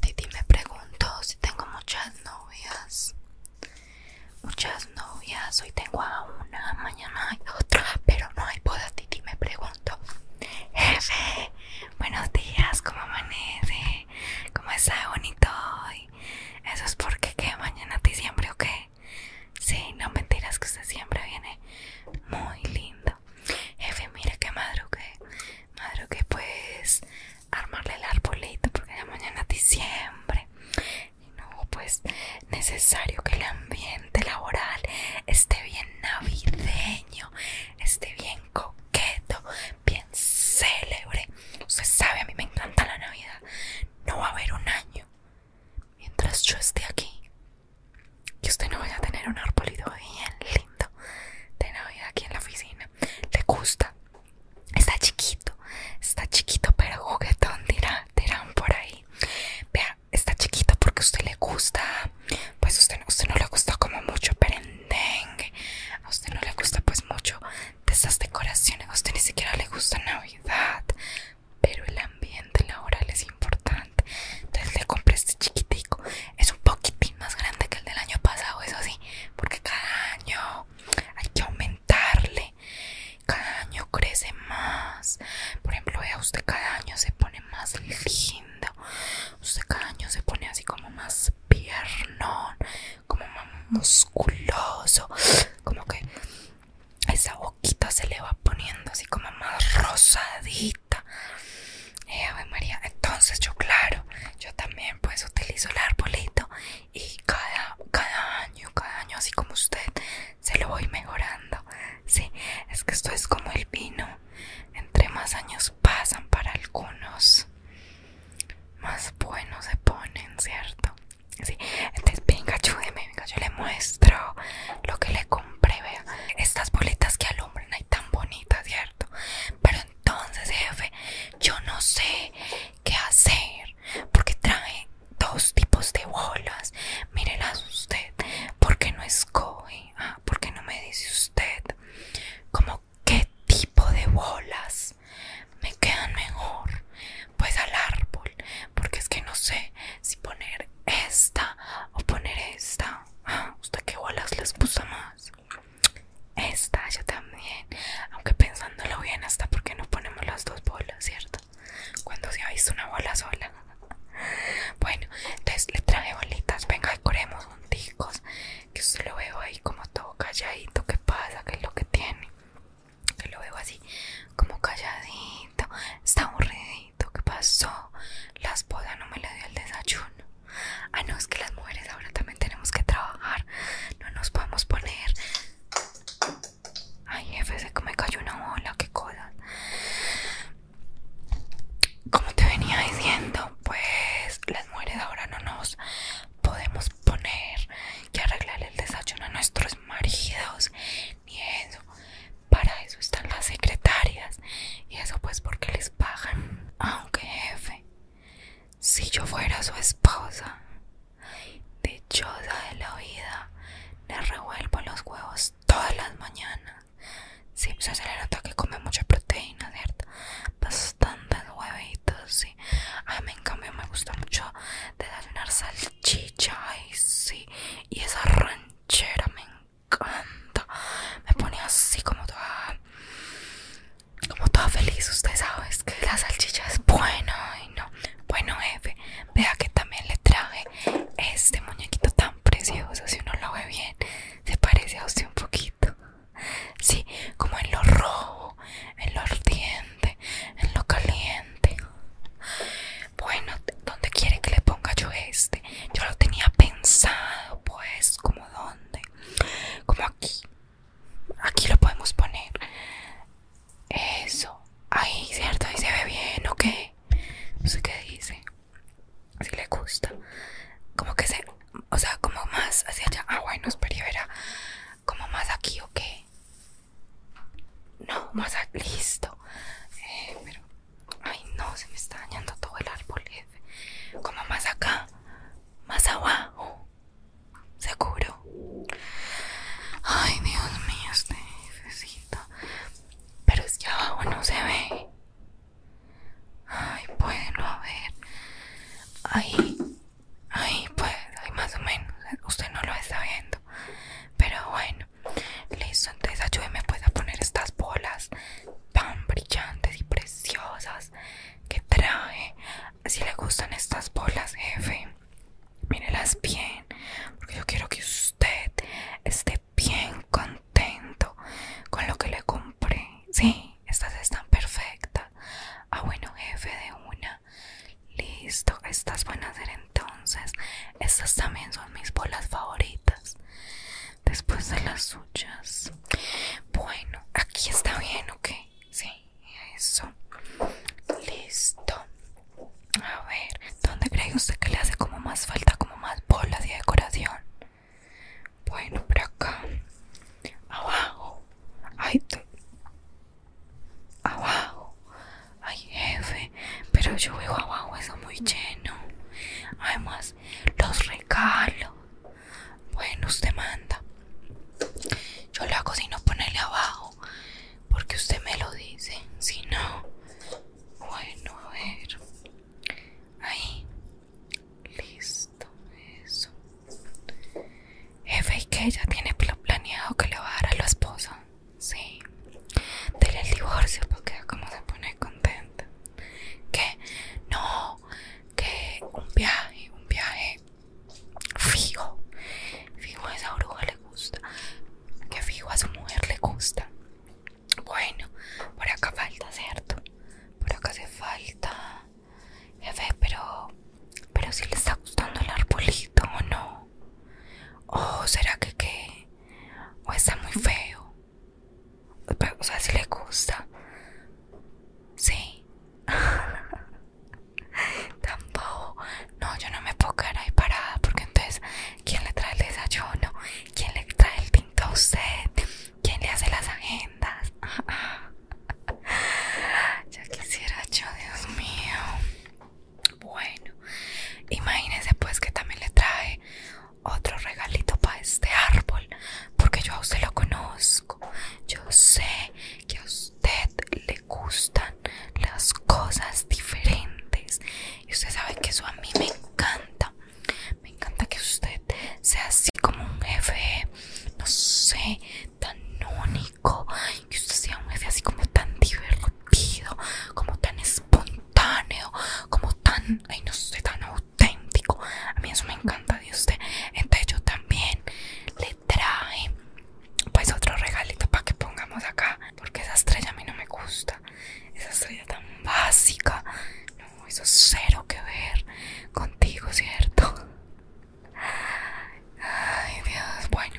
Titi me pregunto si tengo muchas novias. Muchas novias, hoy tengo a una, mañana hay otra, pero no hay boda. Titi me pregunto jefe, buenos días, ¿cómo amanece? ¿Cómo está bonito hoy? Eso es porque que mañana te siempre o qué? Sí, no mentiras que usted siempre viene muy lindo. Jefe, mira que madrugué. Madrugué pues armarle el arbolito porque ya mañana diciembre y no pues necesario que el ambiente laboral esté bien navideño esté bien coqueto bien célebre usted sabe a mí me encanta la navidad no va a haber un año mientras yo esté aquí que usted no vaya a tener un arbolito bien lindo de navidad aquí en la oficina le gusta. Está chiquito, está chiquito pero juguetón dirán, por ahí. Vea, está chiquito porque a usted le gusta, pues a usted, no le gusta como mucho perendengue, a usted no le gusta pues mucho de esas decoraciones, a usted ni siquiera le gusta Navidad, pero el ambiente laboral es importante. Entonces le compré este chiquitico, es un poquitín más grande que el del año pasado, eso sí, porque cada año hay que aumentarle, cada año crece más. Por ejemplo, vea, usted cada año se pone más lindo, usted cada año se pone así como más piernón, como más musculoso, como que esa boquita se le va poniendo así como más rosadita eh, María. Entonces yo, claro, yo también pues utilizo el arbolito y cada, cada año, cada año, así como usted, se lo voy mejorando. Sí, es que esto es como el vino. Entre más años pasan para algunos, más buenos se ponen, ¿cierto? Sí, entonces venga, ayúdeme, venga, yo le muestro lo que le compré, vea. Estas bolitas que alumbran hay tan bonitas, ¿cierto? Pero entonces, jefe, yo no sé qué hacer porque trae dos tipos de bolas. Mírelas usted. ¿Por qué no escoge? Ah, ¿Por qué no me dice usted? Como qué tipo de bolas me quedan mejor. Pues al árbol. Porque es que no sé si poner esta o poner esta. Ah, ¿Usted qué bolas les puso más? Esta yo también. Aunque pensándolo bien, hasta porque no ponemos las dos bolas, ¿cierto? Cuando se ha visto una bola sola. Bueno, entonces le traje bolitas. Venga, corremos junticos. Que usted lo veo ahí como todo calladito. ¿Qué pasa? ¿Qué es lo que tiene? Que lo veo así, como calladito. Está aburridito. ¿Qué pasó? La esposa no me le dio el desayuno. Ah, no, es que las mujeres ahora también tenemos que trabajar. No nos podemos poner. Ay, jefe, se me cayó una bola, qué cosa. Como te venía diciendo, pues las mujeres ahora no nos podemos poner que arreglar el desayuno a nuestros maridos ni eso. Para eso están las secretarias y eso pues porque les pagan. Aunque jefe, si yo fuera su esposa, dichosa de la vida, le revuelvo los huevos todas las mañanas. Sí, se le que come mucha proteína, ¿cierto? Bastantes huevitos, sí. A mí en cambio me gusta mucho desayunar salchicha, sí. Y esa ranchera me encanta. Me pone así como toda como toda feliz, usted sabe que la salchicha es buena y no. Bueno jefe, vea que también le traje este muñequito tan precioso, si uno lo ve bien, se parece a usted un poquito. Sí, como en lo rojo, en lo ardiente, en lo caliente. Bueno, ¿dónde quiere que le ponga yo este? Yo lo tenía pensado, pues, como dónde como aquí aquí lo podemos poner eso ahí cierto ahí se ve bien o qué? no sé qué dice si le gusta como que se o sea como más hacia allá ah bueno espera como más aquí o qué no más listo eh, pero ay no se me está dañando todo el árbol como más acá más abajo, seguro. Ay, Dios mío, este necesito. Pero es que abajo no se ve. Ay, puede no haber. Ahí, ahí, pues, ahí más o menos. Usted no lo está viendo. Pero bueno, listo. Entonces, ayúdeme pues a poner estas bolas tan brillantes y preciosas que trae. Si le gustan estas bolas, jefe, mírelas bien, porque yo quiero que usted esté bien contento con lo que le compré. si, estas están perfectas. Ah, bueno, jefe, de una. Listo, estas van a ser entonces. Estas también son mis bolas favoritas después de las suyas. Bueno, aquí está bien, ¿ok? Sí, eso. Listo. A ver, ¿dónde cree usted que le hace como más falta, como más bolas de decoración? Bueno, por acá. Abajo. Ay, abajo. Ay, jefe. Pero yo veo abajo eso muy lleno. Además, los regalos. Bueno, usted manda. Yo lo hago si no ponele abajo. Porque usted me lo dice. Si no. Bueno, a ver. Ahí. Listo. Eso. Jefe, ¿y que ya tiene planeado que le va a dar a la esposa? Sí. Dele el divorcio porque como se pone contenta. ¿Qué? No que un viaje, un viaje fijo. Fijo a esa bruja le gusta. Que fijo a su mujer le gusta. Bueno, por acá falta, ¿cierto? Por acá hace falta. Jefe, pero. Pero si le está gustando el arbolito o no. O será que qué. O está muy feo o sea, si le gusta. Sí. Tampoco. No, yo no me puedo quedar ahí parada porque entonces, ¿quién le trae el desayuno? ¿Quién le trae el tinto a usted? ¿Quién le hace las agendas? ya quisiera yo, Dios mío. Bueno, Imagínese pues que también le trae otro regalito para este árbol porque yo a usted lo conozco. Yo sé que a usted le gustan las cosas diferentes. Y usted sabe que eso a mí me encanta. Me encanta que usted sea así como un jefe, no sé, tan único. Que usted sea un jefe así como tan divertido, como tan espontáneo, como tan, ay no sé, tan a mí eso me encanta de usted. Entonces yo también le traje pues otro regalito para que pongamos acá. Porque esa estrella a mí no me gusta. Esa estrella tan básica. No, eso es cero que ver contigo, ¿cierto? Ay, Dios. Bueno,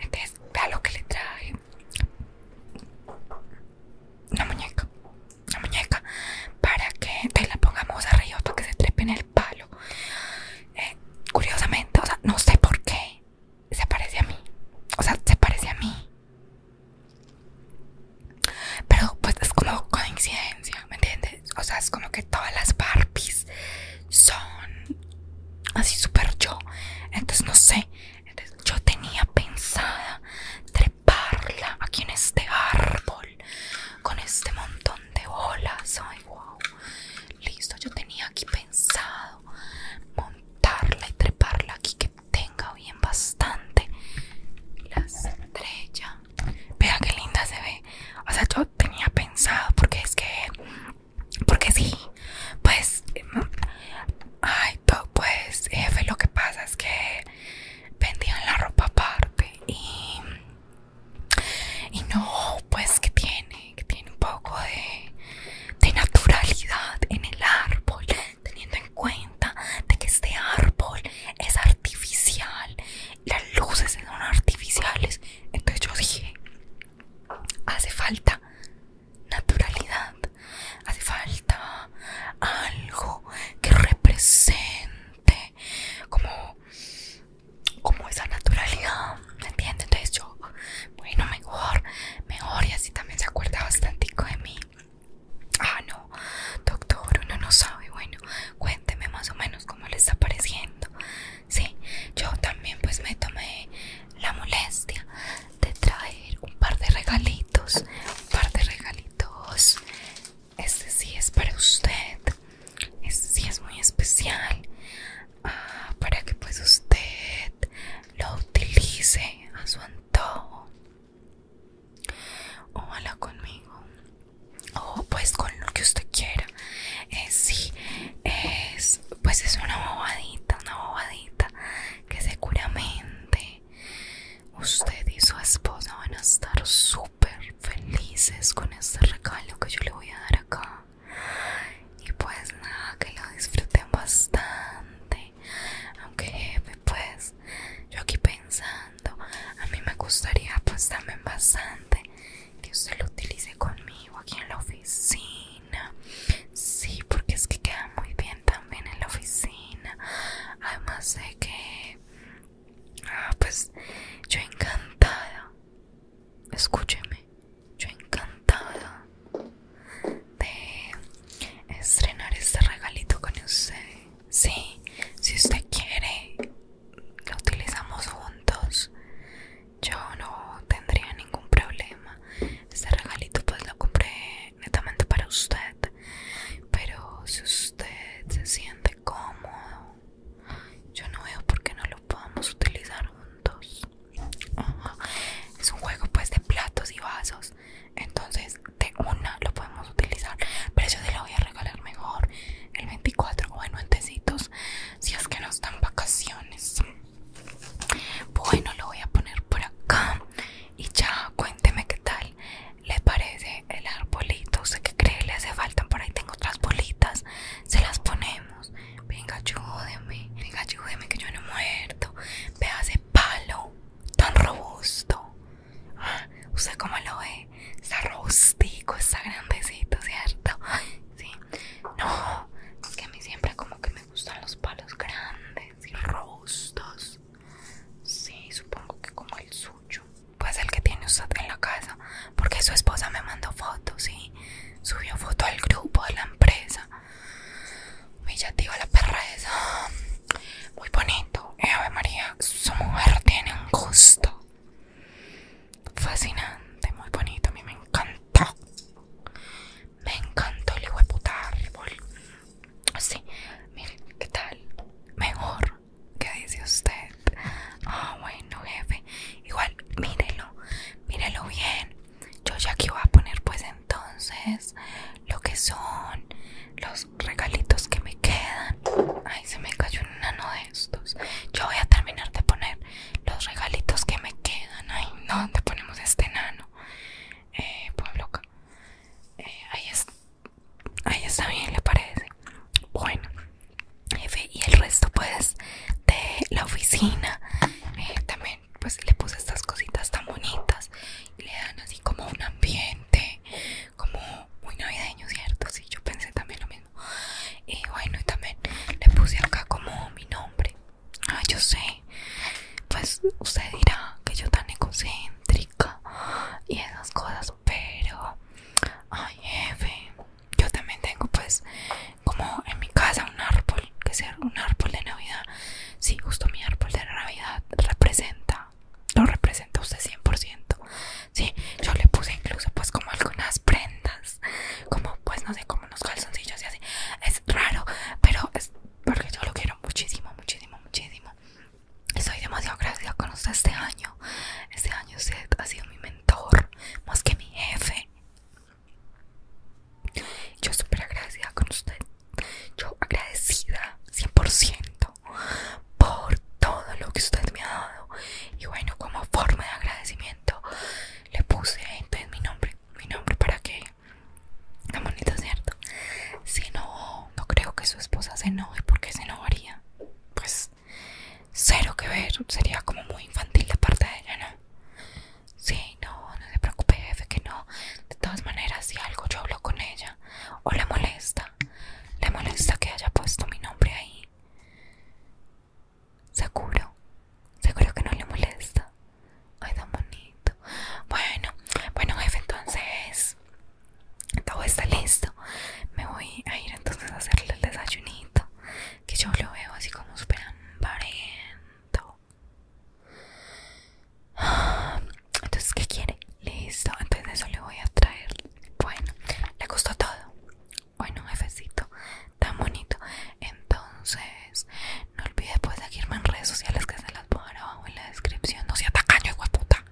entonces vea lo que le traje. Una muñeca la muñeca para que te la pongamos arriba para que se trepe en el palo. Eh, curiosamente, o sea, no sé por qué se parece a mí. O sea, se parece a mí. Pero pues es como coincidencia, ¿me entiendes? O sea, es como que todas las Barbies son así súper yo. Entonces, no sé. yo tenía pensada Parla aquí en este árbol con este montón de olas. Ay, wow. Listo, yo tenía aquí pensado montarla y treparla aquí que tenga bien bastante la estrella. Vea qué linda se ve. O sea, yo tenía pensado porque es que porque sí, pues em, ay, pues jefe, lo que pasa es que vendían la ropa aparte y y no, pues que tiene, que tiene un poco de, de naturalidad en el árbol, teniendo en cuenta de que este árbol es artificial, las luces son artificiales. Entonces yo dije, hace falta naturalidad, hace falta algo que represente como, como esa naturalidad, ¿me entiendes? Entonces yo, bueno, mejor, mejor, y así también se acuerda bastante de mí. Ah, no, doctor, uno no sabe, bueno, cuénteme más o menos cómo le está pareciendo. Sí, yo también pues me tomé la molestia de traer un par de regalitos, un par de regalitos este sí es para usted, este sí es muy especial ah, para que pues usted lo utilice a su antojo. hala conmigo, o pues con lo que usted quiera. Eh, sí, es, pues es una bobadita, una bobadita que seguramente usted y su esposa van a estar su super felices con este regalo que yo le voy a dar acá. Y pues nada, que lo disfruten bastante. Aunque pues yo aquí pensando, a mí me gustaría pues también bastante que usted lo utilice conmigo aquí en la oficina. Sí, porque es que queda muy bien también en la oficina. Además de que Ah, pues yo encantada. Escúcheme, yo encantada de estrenar este regalito con usted. Sí, si usted quiere, lo utilizamos juntos. Yo no tendría ningún problema. Este regalito pues lo compré netamente para usted. Pero si usted se siente ¿Cómo? cómodo. Yo no veo por qué no lo podamos utilizar juntos. Es un juego pues de platos y vasos. Entonces de una lo podemos utilizar. Pero yo te lo voy a regalar mejor el 24 o bueno, en Si es que nos dan vacaciones. Bueno, lo voy a poner por acá. Y ya, cuénteme qué tal le parece el arbolito ¿Usted qué cree le hace falta por ahí tengo otras bolitas se las ponemos venga ayúdeme venga ayúdeme que yo no he muerto vea ese palo tan robusto ah, usted como lo ve está robustico está grandecito cierto sí no es que a mí siempre como que me gustan los palos grandes y robustos sí supongo que como el suyo pues el que tiene usted en la casa, porque su esposa me mandó fotos y subió foto al grupo de la empresa. digo la perra esa, ah, Muy bonito. María, su mujer tiene un gusto fascinante, muy bonito. A mí me encantó. Me encantó el hijo de puta árbol. Sí, miren, ¿qué tal? Mejor. ¿Qué dice usted? Ah, bueno, jefe. Igual, mírelo, mírelo bien. Yo ya aquí voy a poner, pues entonces, lo que son los regalitos que me quedan. Ay, se me cayó un nano de estos. Yo voy a terminar de poner los regalitos que me quedan. Ay, no, ¿dónde ponemos este nano? Eh, loca, eh, ahí está. Ahí está bien, ¿le parece? Bueno, jefe, y el resto pues de la oficina eh, también pues le puse estas cositas tan bonitas y le dan así como un ambiente como muy navideño, ¿cierto? Sí, yo pensé también lo mismo. Y bueno, y también le puse acá como mi nombre. Ah, yo sé. Pues usted dirá que yo tan egocéntrica y esas cosas, pero Ay, jefe, yo también tengo pues como en mi casa un árbol, que sea un árbol de Navidad. Sí, justo mi árbol de Navidad representa, lo representa usted 100%. Sí, yo le puse incluso pues como algunas prendas, como pues no sé, como unos calzoncillos y así. Es raro, pero es porque yo lo quiero muchísimo, muchísimo, muchísimo. Estoy demasiado agradecida con usted este año. Este año usted ha sido mi mentor, más que mi jefe. Yo súper agradecida con usted. Yo agradecida 100% por todo lo que usted me ha dado. Y bueno, como forma de agradecimiento, le puse entonces mi nombre. Mi nombre para que... La bonito, ¿cierto? Si no, no creo que su esposa se enoje qué se enojaría. Pues cero que ver, sería como muy infantil de parte de ella, ¿no? Sí, no, no se preocupe jefe que no. De todas maneras, si algo yo hablo con ella o le molesta, le molesta que haya puesto mi nombre ahí. Seguro, seguro que no le molesta. Ay, tan bonito. Bueno, bueno jefe, entonces todo está listo me voy a ir entonces a hacerle el desayunito que yo lo veo así como Super hambriento entonces ¿qué quiere? listo entonces eso le voy a traer bueno le gustó todo bueno jefecito tan bonito entonces no olvide pues seguirme en redes sociales que se las voy abajo en la descripción no se tacaño hijo puta